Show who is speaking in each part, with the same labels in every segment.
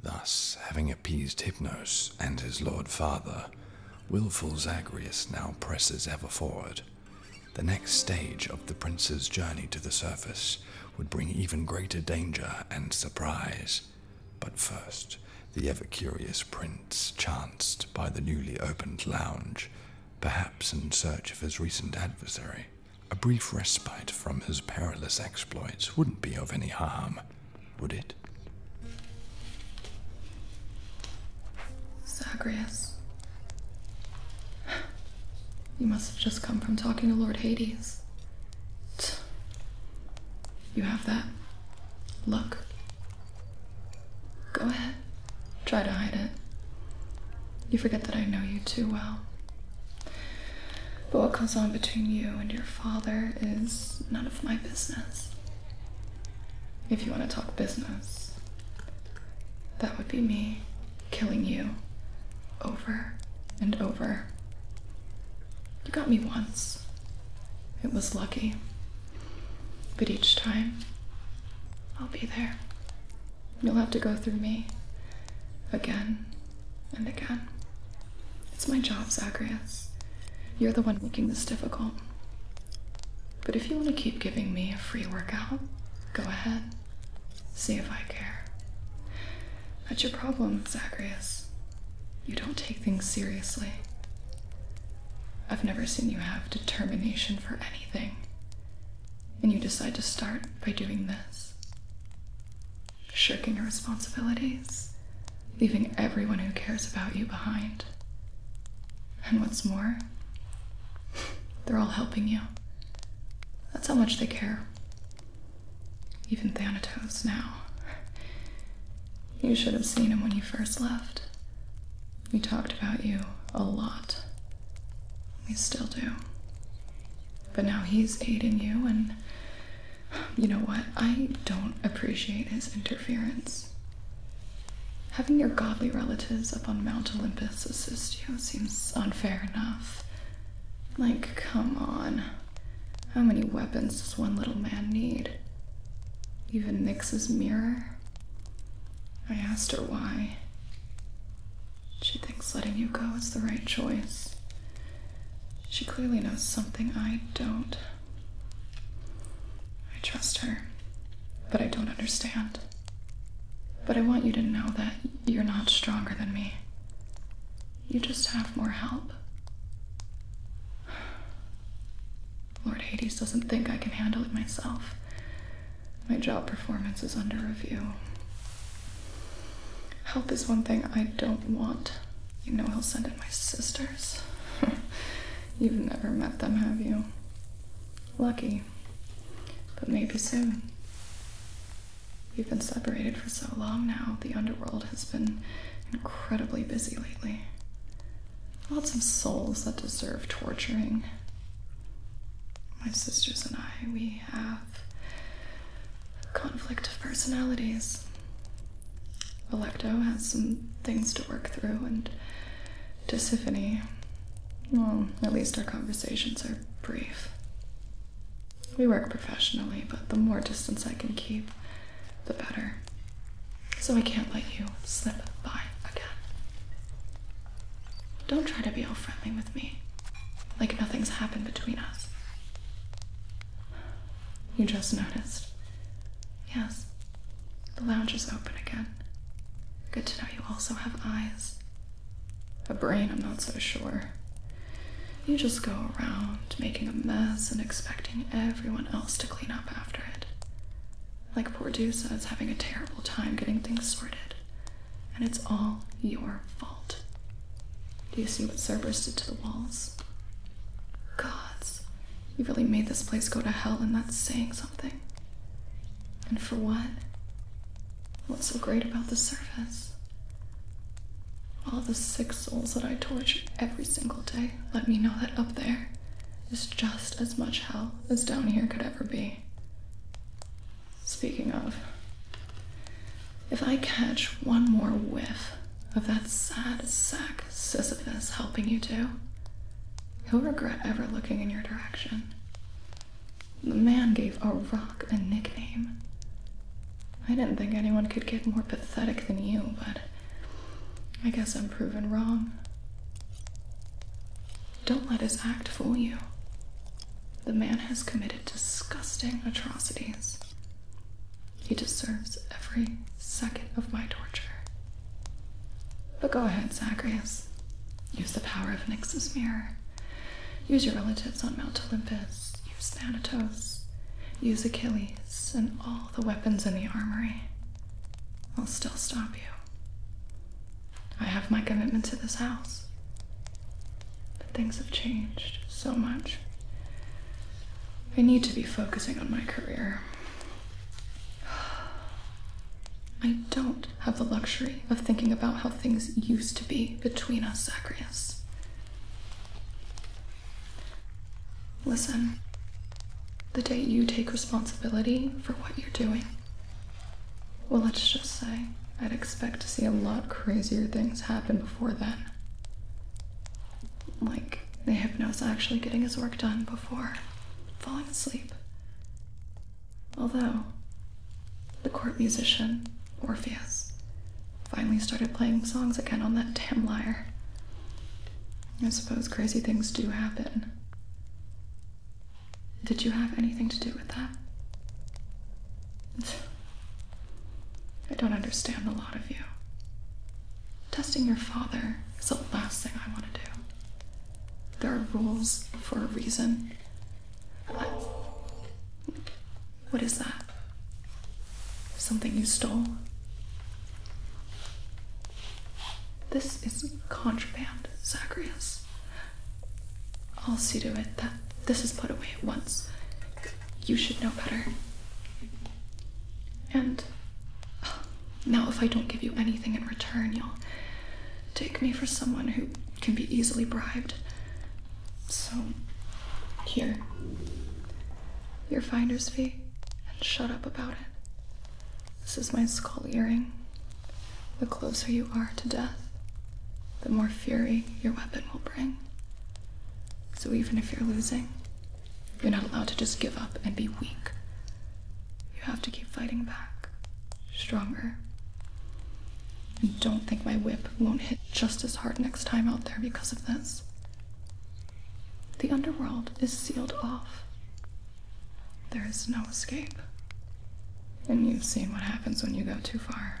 Speaker 1: Thus, having appeased Hypnos and his lord father, wilful Zagreus now presses ever forward. The next stage of the prince's journey to the surface would bring even greater danger and surprise. But first, the ever curious prince chanced by the newly opened lounge, perhaps in search of his recent adversary. A brief respite from his perilous exploits wouldn't be of any harm would it?
Speaker 2: Zagreus. You must have just come from talking to Lord Hades. You have that. Look. Go ahead. Try to hide it. You forget that I know you too well. But what goes on between you and your father is none of my business. If you want to talk business, that would be me killing you over and over. You got me once. It was lucky. But each time, I'll be there. You'll have to go through me again and again, it's my job, Zacharias. You're the one making this difficult. But if you want to keep giving me a free workout, go ahead. See if I care. That's your problem, Zacharias. You don't take things seriously. I've never seen you have determination for anything. And you decide to start by doing this shirking your responsibilities, leaving everyone who cares about you behind. And what's more, they're all helping you. That's how much they care. Even Thanatos now. You should have seen him when you first left. We talked about you a lot. We still do. But now he's aiding you and you know what? I don't appreciate his interference. Having your godly relatives up on Mount Olympus assist you seems unfair enough. Like, come on. How many weapons does one little man need? Even Nix's mirror? I asked her why. She thinks letting you go is the right choice. She clearly knows something I don't. I trust her, but I don't understand. But I want you to know that you're not stronger than me. You just have more help. Lord Hades doesn't think I can handle it myself. My job performance is under review. Help is one thing I don't want. You know i will send in my sisters. You've never met them, have you? Lucky. But maybe soon. We've been separated for so long now, the underworld has been incredibly busy lately. Lots of souls that deserve torturing. My sisters and I, we have conflict of personalities. Electo has some things to work through, and Tisiphany, well, at least our conversations are brief. We work professionally, but the more distance I can keep, the better. So I can't let you slip by again. Don't try to be all friendly with me, like nothing's happened between us. You just noticed. Yes, the lounge is open again. Good to know you also have eyes. A brain, I'm not so sure. You just go around making a mess and expecting everyone else to clean up after it. Like poor Dusa is having a terrible time getting things sorted, and it's all your fault. Do you see what Cerberus did to the walls? Gods, you really made this place go to hell, and that's saying something. And for what? What's so great about the surface? All the sick souls that I torture every single day let me know that up there is just as much hell as down here could ever be. Speaking of, if I catch one more whiff of that sad sack Sisyphus helping you to, he'll regret ever looking in your direction. The man gave a rock a nickname. I didn't think anyone could get more pathetic than you, but I guess I'm proven wrong. Don't let his act fool you. The man has committed disgusting atrocities. He deserves every second of my torture. But go ahead, Zacharias. Use the power of Nix's mirror. Use your relatives on Mount Olympus. Use Thanatos. Use Achilles and all the weapons in the armory. I'll still stop you. I have my commitment to this house. But things have changed so much. I need to be focusing on my career. I don't have the luxury of thinking about how things used to be between us, Zacharias. Listen, the day you take responsibility for what you're doing, well, let's just say I'd expect to see a lot crazier things happen before then. Like the hypnose actually getting his work done before falling asleep. Although, the court musician, Orpheus, finally started playing songs again on that damn lyre. I suppose crazy things do happen. Did you have anything to do with that? I don't understand a lot of you. Testing your father is the last thing I want to do. There are rules for a reason. What is that? Something you stole? This is contraband, Zacharias. I'll see to it that this is put away at once. You should know better. And now, if I don't give you anything in return, you'll take me for someone who can be easily bribed. So, here. Your finder's fee, and shut up about it. This is my skull earring. The closer you are to death, the more fury your weapon will bring. So even if you're losing, you're not allowed to just give up and be weak. You have to keep fighting back, stronger. And don't think my whip won't hit just as hard next time out there because of this. The underworld is sealed off. There is no escape. And you've seen what happens when you go too far.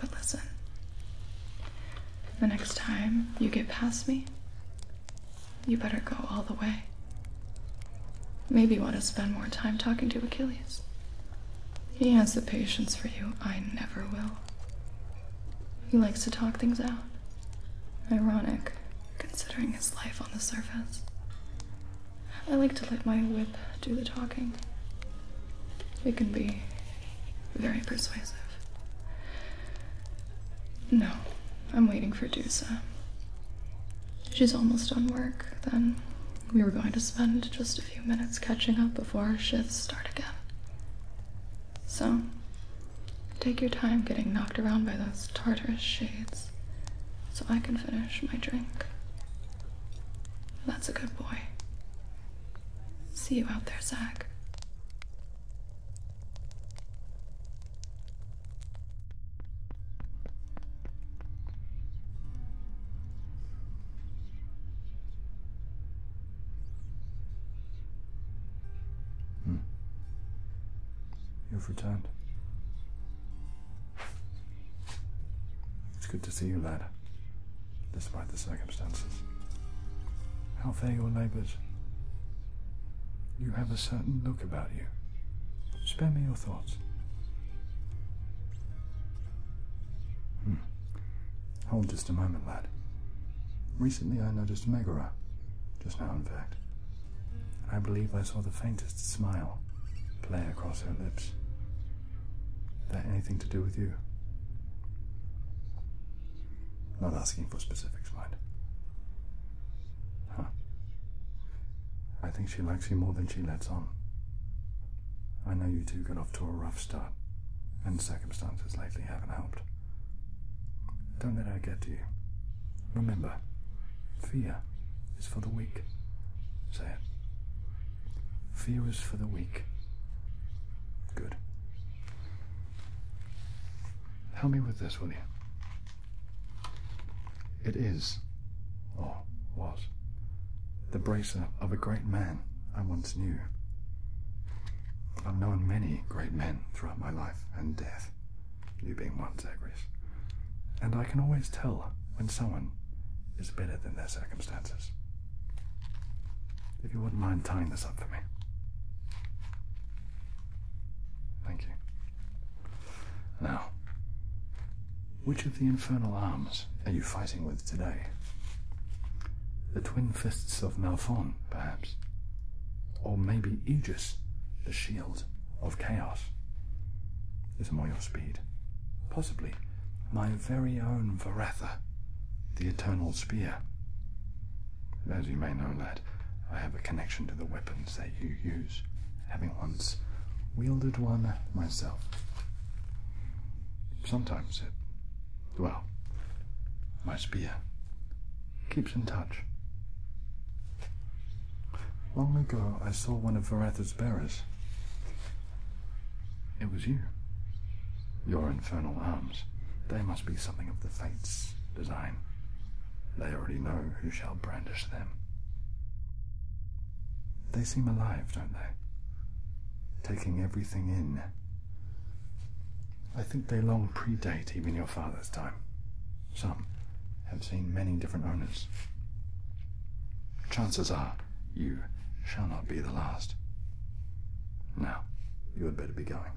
Speaker 2: But listen, the next time you get past me, you better go all the way. Maybe you want to spend more time talking to Achilles. He has the patience for you I never will. He likes to talk things out. Ironic, considering his life on the surface. I like to let my wit do the talking. It can be very persuasive. No, I'm waiting for Dusa. She's almost done work, then we were going to spend just a few minutes catching up before our shifts start again. So, take your time getting knocked around by those Tartarus shades so I can finish my drink. That's a good boy. See you out there, Zach.
Speaker 1: Hmm. You've returned. It's good to see you, lad despite the circumstances. How fare your neighbours? You have a certain look about you. Spare me your thoughts. Hmm. Hold just a moment, lad. Recently I noticed Megara, just now in fact. I believe I saw the faintest smile play across her lips that anything to do with you. Not asking for specifics, mind. Huh. I think she likes you more than she lets on. I know you two got off to a rough start, and circumstances lately haven't helped. Don't let her get to you. Remember, fear is for the weak. Say it. Fear is for the weak. Good. Help me with this, will you? It is, or what? the bracer of a great man I once knew. I've known many great men throughout my life and death, you being one, Zagreus. And I can always tell when someone is better than their circumstances. If you wouldn't mind tying this up for me. Thank you. Now, which of the infernal arms are you fighting with today? The twin fists of Malphon, perhaps? Or maybe Aegis, the shield of chaos? Is more your speed? Possibly my very own Varatha, the Eternal Spear. As you may know, lad, I have a connection to the weapons that you use, having once wielded one myself. Sometimes it, well, my spear keeps in touch. Long ago, I saw one of Varatha's bearers. It was you. Your infernal arms. They must be something of the fates' design. They already know who shall brandish them. They seem alive, don't they? Taking everything in. I think they long predate even your father's time. Some have seen many different owners. Chances are you shall not be the last. Now, you had better be going.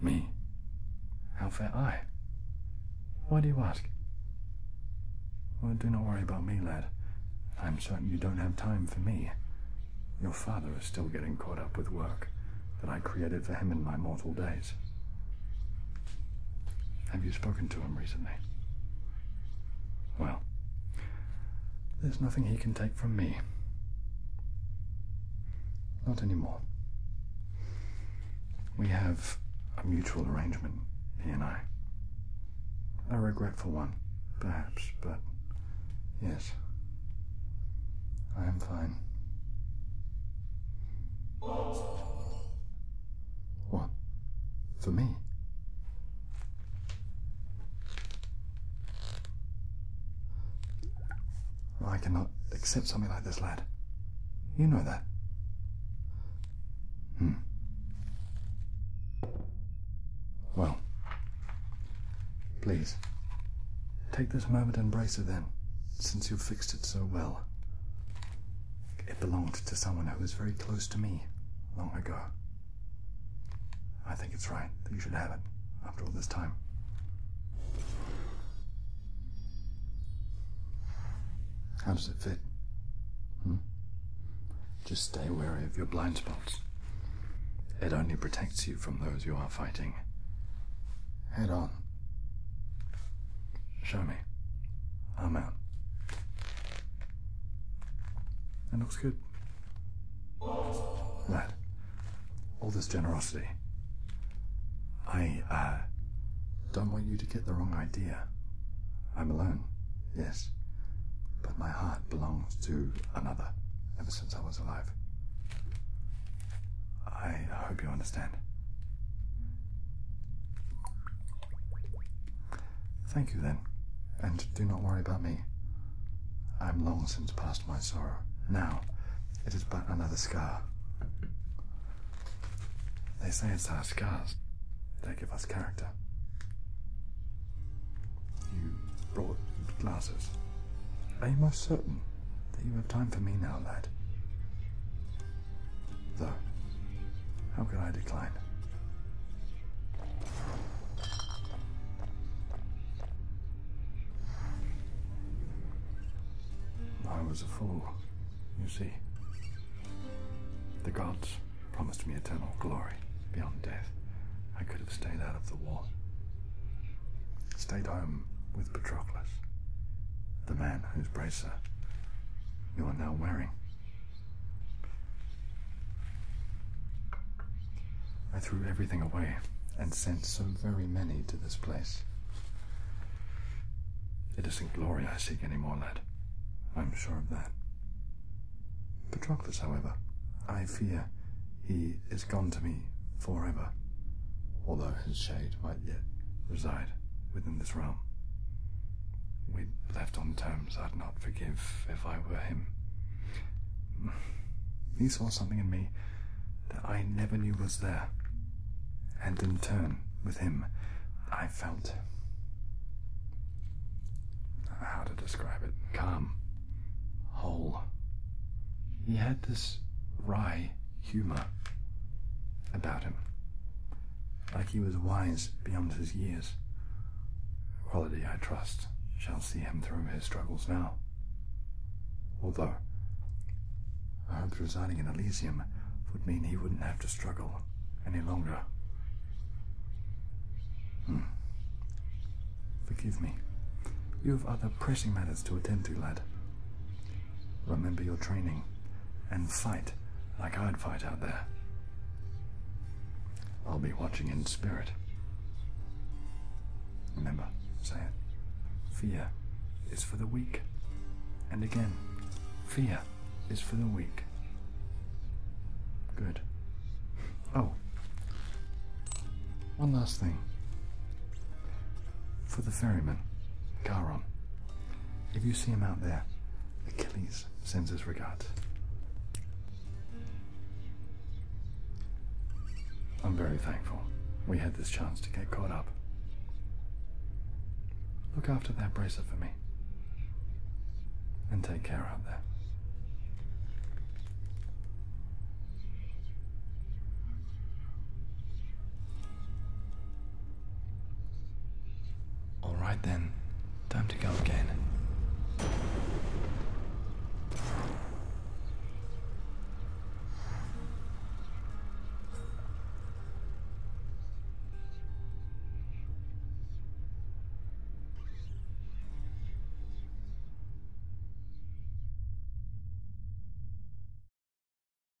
Speaker 1: Me? How fare I? Why do you ask? Well, do not worry about me, lad. I'm certain you don't have time for me. Your father is still getting caught up with work that I created for him in my mortal days. Have you spoken to him recently? Well, there's nothing he can take from me. Not anymore. We have a mutual arrangement, he and I. A regretful one, perhaps, but yes, I am fine. What? For me? I cannot accept something like this, lad. You know that. Hmm. Well, please, take this moment and brace it then, since you've fixed it so well. It belonged to someone who was very close to me long ago. I think it's right that you should have it after all this time. How does it fit? Hmm? Just stay wary of your blind spots. It only protects you from those you are fighting. Head on. Show me. I'm out. That looks good. Lad, all this generosity. I, uh, don't want you to get the wrong idea. I'm alone, yes. But my heart belongs to another ever since I was alive. I hope you understand. Thank you, then, and do not worry about me. I am long since past my sorrow. Now, it is but another scar. They say it's our scars they give us character. You brought glasses. Are you most certain that you have time for me now, lad? Though, how could I decline? I was a fool, you see. The gods promised me eternal glory beyond death. I could have stayed out of the war. Stayed home with Patroclus the man whose bracer you are now wearing. I threw everything away and sent so very many to this place. It isn't glory I seek any more, lad. I'm sure of that. Patroclus, however, I fear he is gone to me forever, although his shade might yet reside within this realm. We left on terms I'd not forgive if I were him. He saw something in me that I never knew was there, and in turn, with him, I felt. How to describe it? Calm. Whole. He had this wry humor about him, like he was wise beyond his years. Quality, I trust, shall see him through his struggles now. Although, I hoped residing in Elysium would mean he wouldn't have to struggle any longer. Hmm. Forgive me. You have other pressing matters to attend to, lad. Remember your training and fight like I'd fight out there. I'll be watching in spirit. Remember, say it. Fear is for the weak. And again, fear is for the weak. Good. Oh, one last thing. For the ferryman, Charon, if you see him out there, Achilles sends his regards. I'm very thankful we had this chance to get caught up. Look after that bracelet for me. And take care out there. All right then, time to go again.